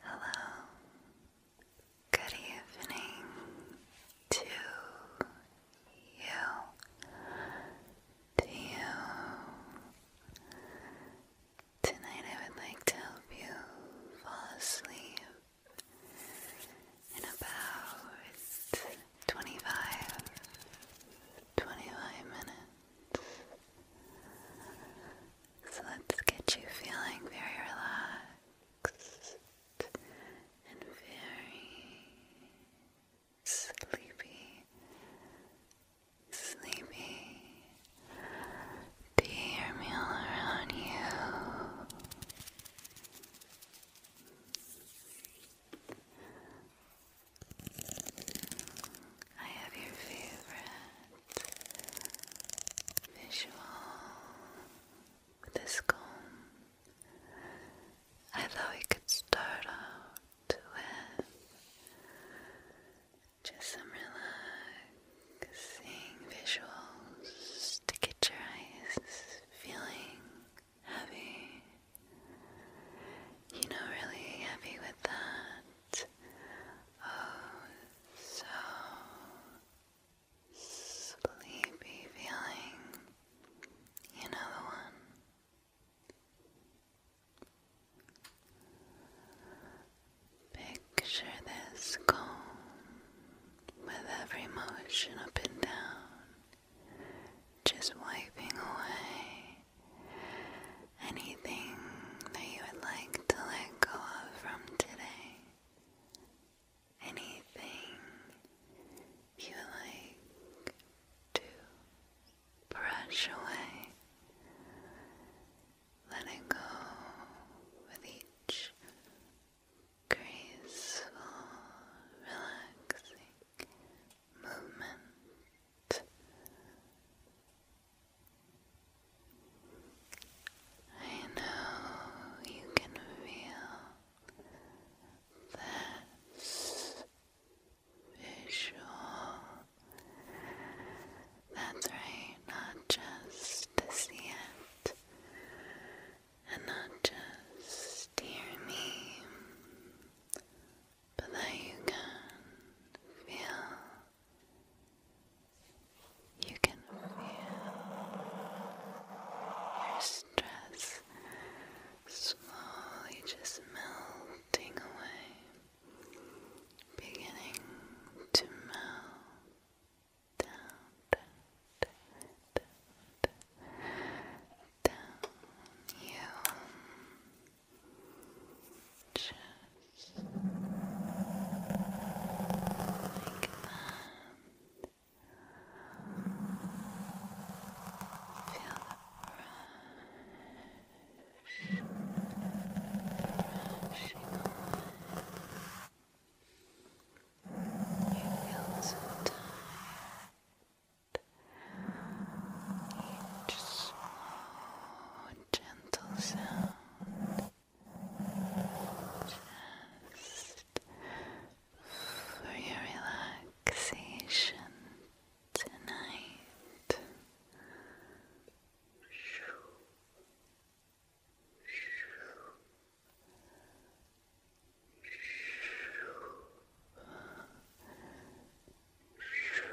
Hello, good evening to you, to you. Tonight I would like to help you fall asleep in about 25 25 minutes. So let's get you feeling very relaxed and very sleepy. Sleepy. Do you hear me all around you? I have your favorite visual with I thought we could start out with just some relaxing visuals to get your eyes feeling heavy. You know, really heavy with that. Oh, so sleepy feeling. You know the one. Picture this calm with every motion up and down just wiping away anything that you would like to let go of from today. Anything you like to brush away. Let go with each graceful, relaxing moment. I know you can feel this visual. That's right, not just to see it, and not just hear me, but that you can feel, you can feel your stress slowly just melting away, beginning to melt down, down you just like that. Feel the brush, brushing away. You feel so each slow, gentle sound just for your relaxation tonight to your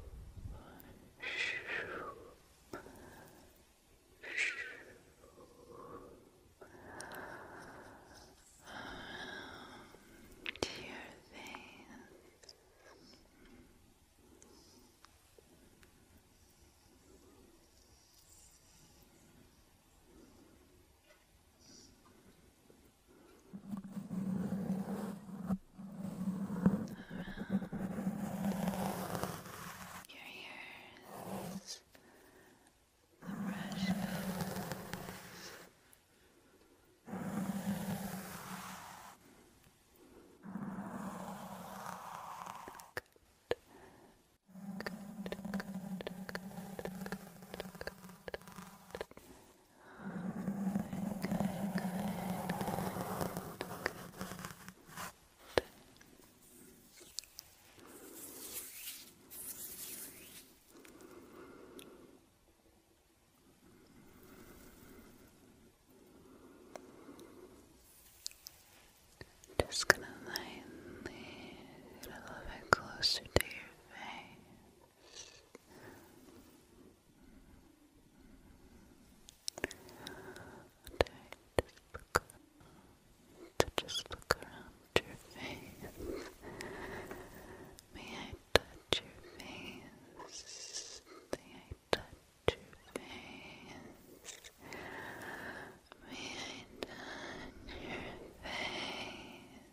face. Your around your ears. The brush goes Good. Good, good, good, good, good, good. Just gonna lightly a little bit closer to your face look to just look around your face. May I touch your face? May I touch your face? May I touch your face?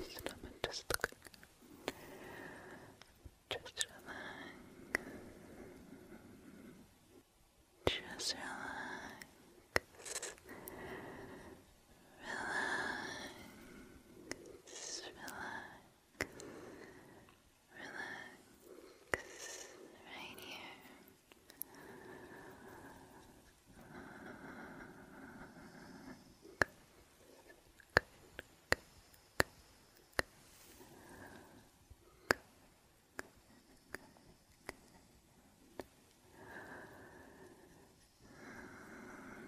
So I'm just looking. Just relax. Just relax. Relax. Relax. Relax. Right here.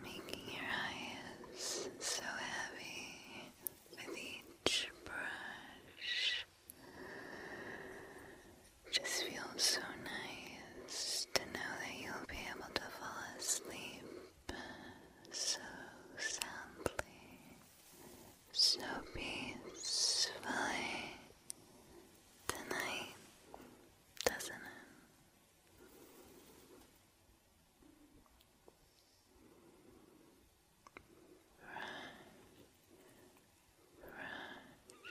Making your eyes so heavy with each brush. Just feels so nice to know that you'll be able to fall asleep so soundly, so peacefully tonight, doesn't it? Rush, rush,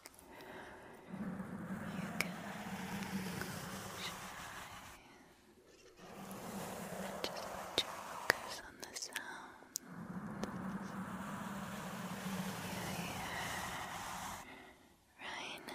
You can just focus on the sound you hear right now.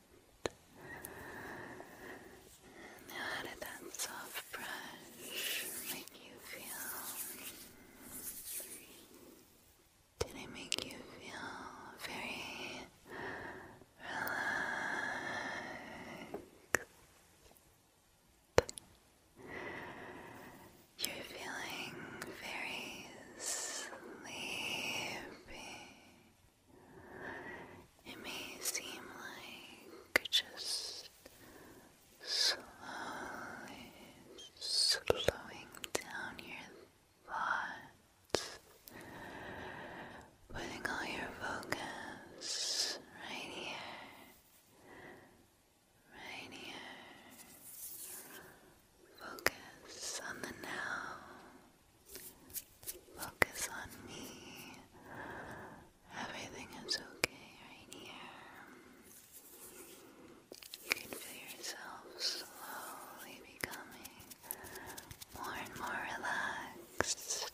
And how did that soft brush make you feel? Did it make you feel very relaxed? You're feeling very sleepy. It may seem like just slowly slowing down your thoughts, putting all your focus right here, right here. Focus on the now. Focus on me. Everything is okay right here. You can feel yourself slowly becoming more and more relaxed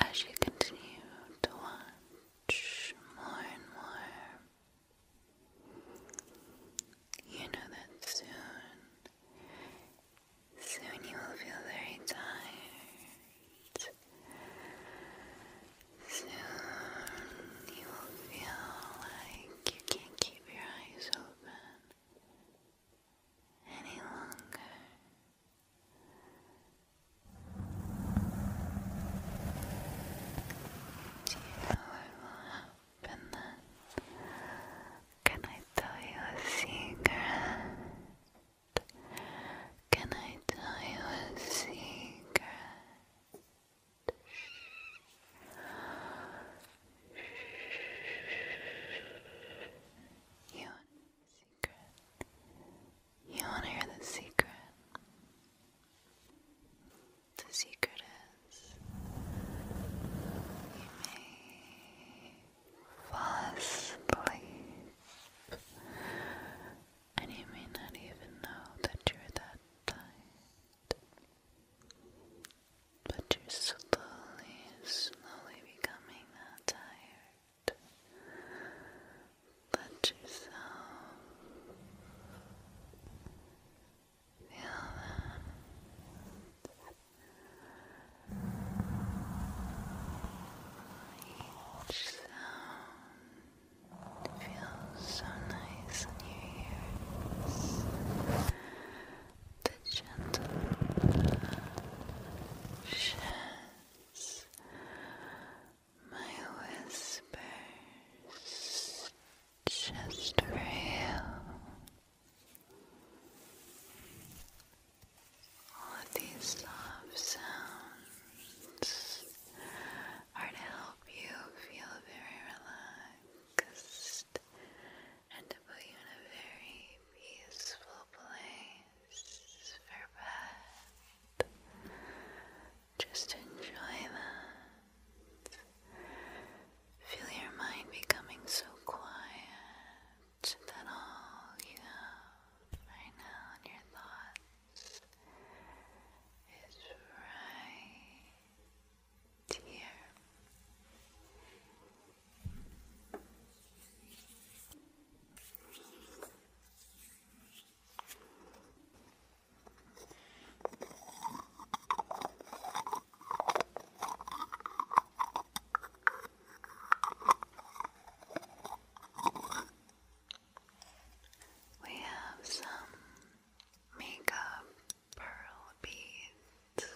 as you continue to watch more and more. You know that soon Soon you will feel very tired. Soon you will feel like you can't keep your eyes open any longer. Do you know what will happen then? Can I tell you a secret? Can I tell you a secret? You the secret? You want to hear the secret? The secret is you make fast and you may not even know that you're that tired, but you're slowly, slowly becoming that tired. Let yourself feel that. Each feels so nice in your ears. The gentle sheds my whispers just for you. All of these soft sounds are to help you feel very relaxed and to put you in a very peaceful place for bed. Just enjoy that. Feel your mind becoming so quiet much that all you have right now in your thoughts is right here. We have some makeup pearl beads.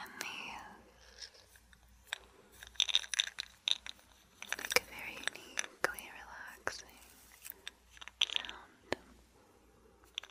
And these make a very uniquely relaxing sound.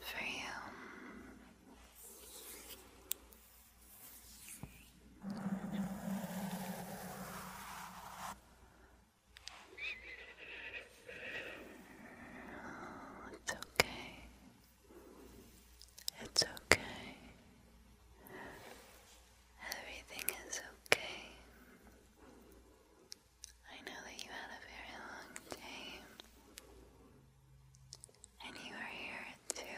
for you. Oh, it's okay. It's okay. Everything is okay. I know that you had a very long day and you are here to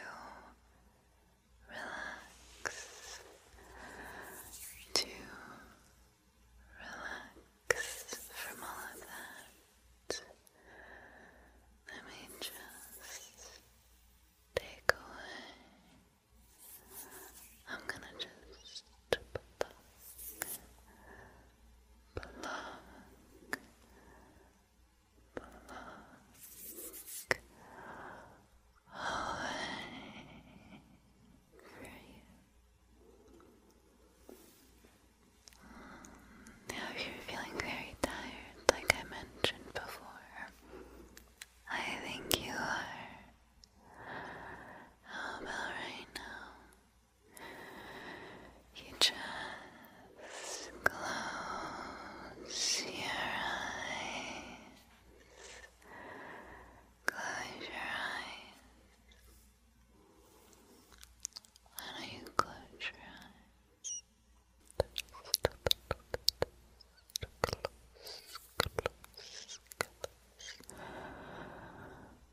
relax, to relax from all of that. Let me just take away. I'm gonna just pluck, pluck, pluck feeling very tired, like I mentioned before, I think you are. How now? You just close your eyes. Close your eyes. I know you close your eyes.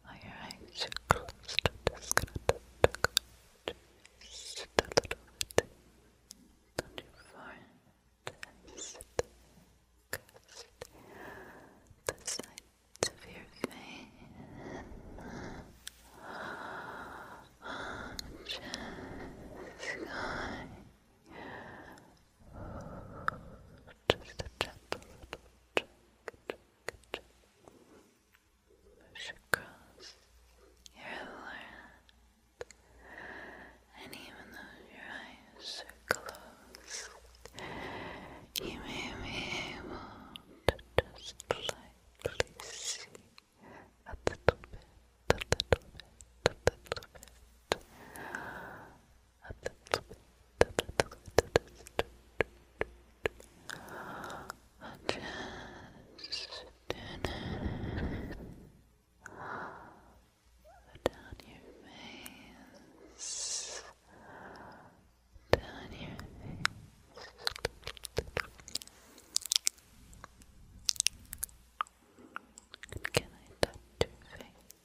Are your eyes closed? i to tuck them just a little bit on your your face just going just a gentle little check, push across your forehead, and even though your eyes are closed, you may be able to just lightly see a little bit, a little bit, a little bit, a little bit down your face, down your face. Can I touch your face?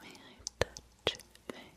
May I touch your face?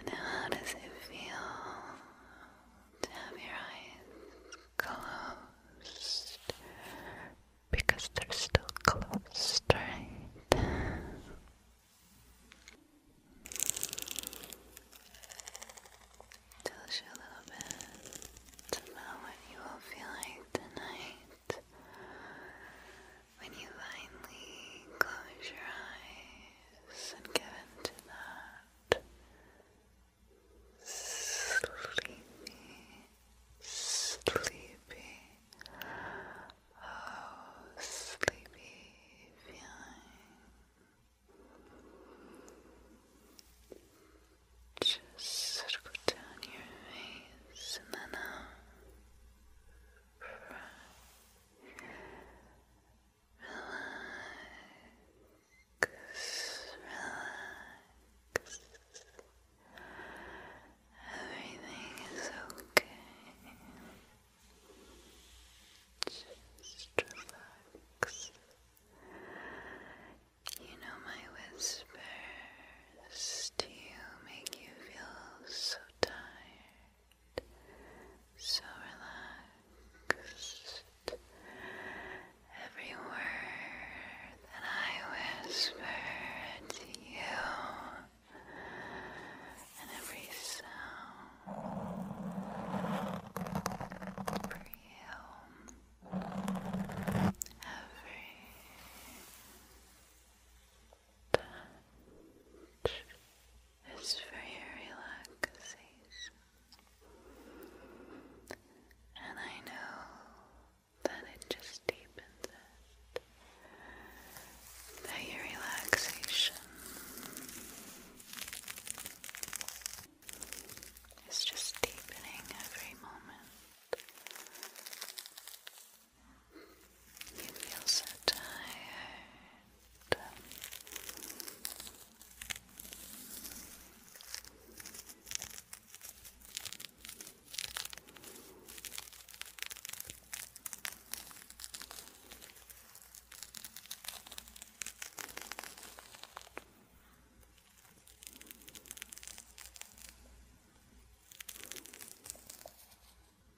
And how does it feel to have your eyes closed? Because they're still closed, right? Tells you a little bit about what you will feel like tonight when you finally close your eyes and give into that sleepy, sleepy, oh, sleepy feeling. Just circle down your face and then out. Uh, relax, relax. Everything is okay. Just relax. You know my whispers to you make you feel so tired so relaxed. Every word that I whisper to you, and every sound for you, every touch is for your relaxation. And I know that it just deepens it. That your relaxation is just deepening every moment. You feel so tired.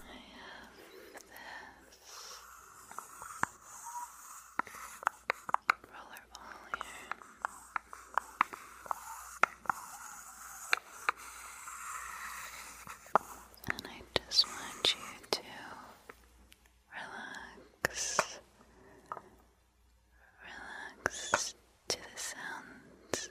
I have this roller here. And I just want you to relax Relax to the sounds.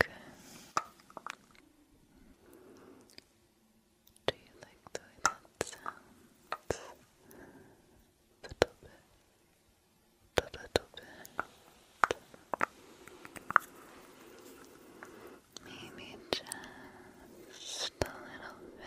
Do you like the way sounds? A little bit, a little bit. Maybe just a little bit.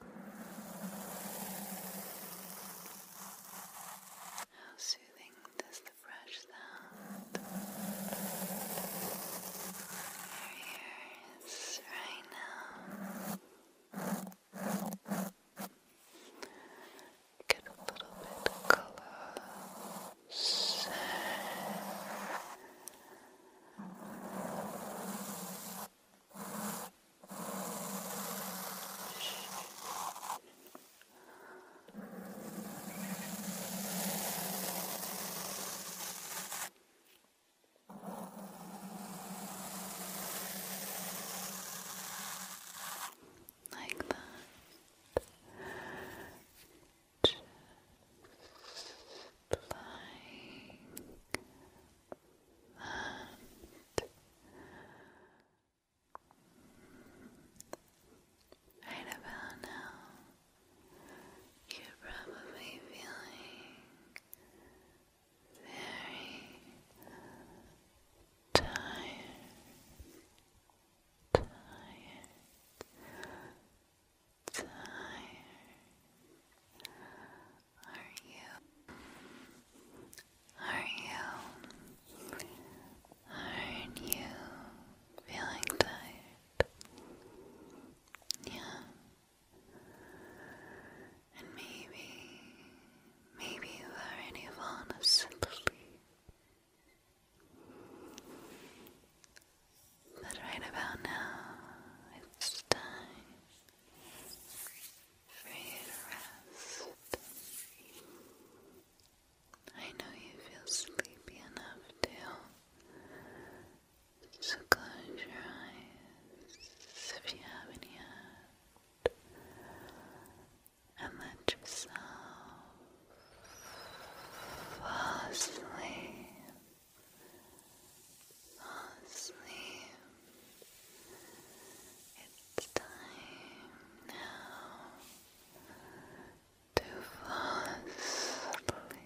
How soothing does the brush sound? Your ear right now. Get a little bit closer. Like that. Just flying that right about now you're probably feeling very tired, tired, tired. Are you? Are you? are you feeling tired? Yeah. And maybe, maybe you've already fallen asleep. But right about now, it's time for you to rest. I know you feel sleepy enough too, so close your eyes if you haven't yet, and let yourself fall asleep asleep. It's time now to fall asleep.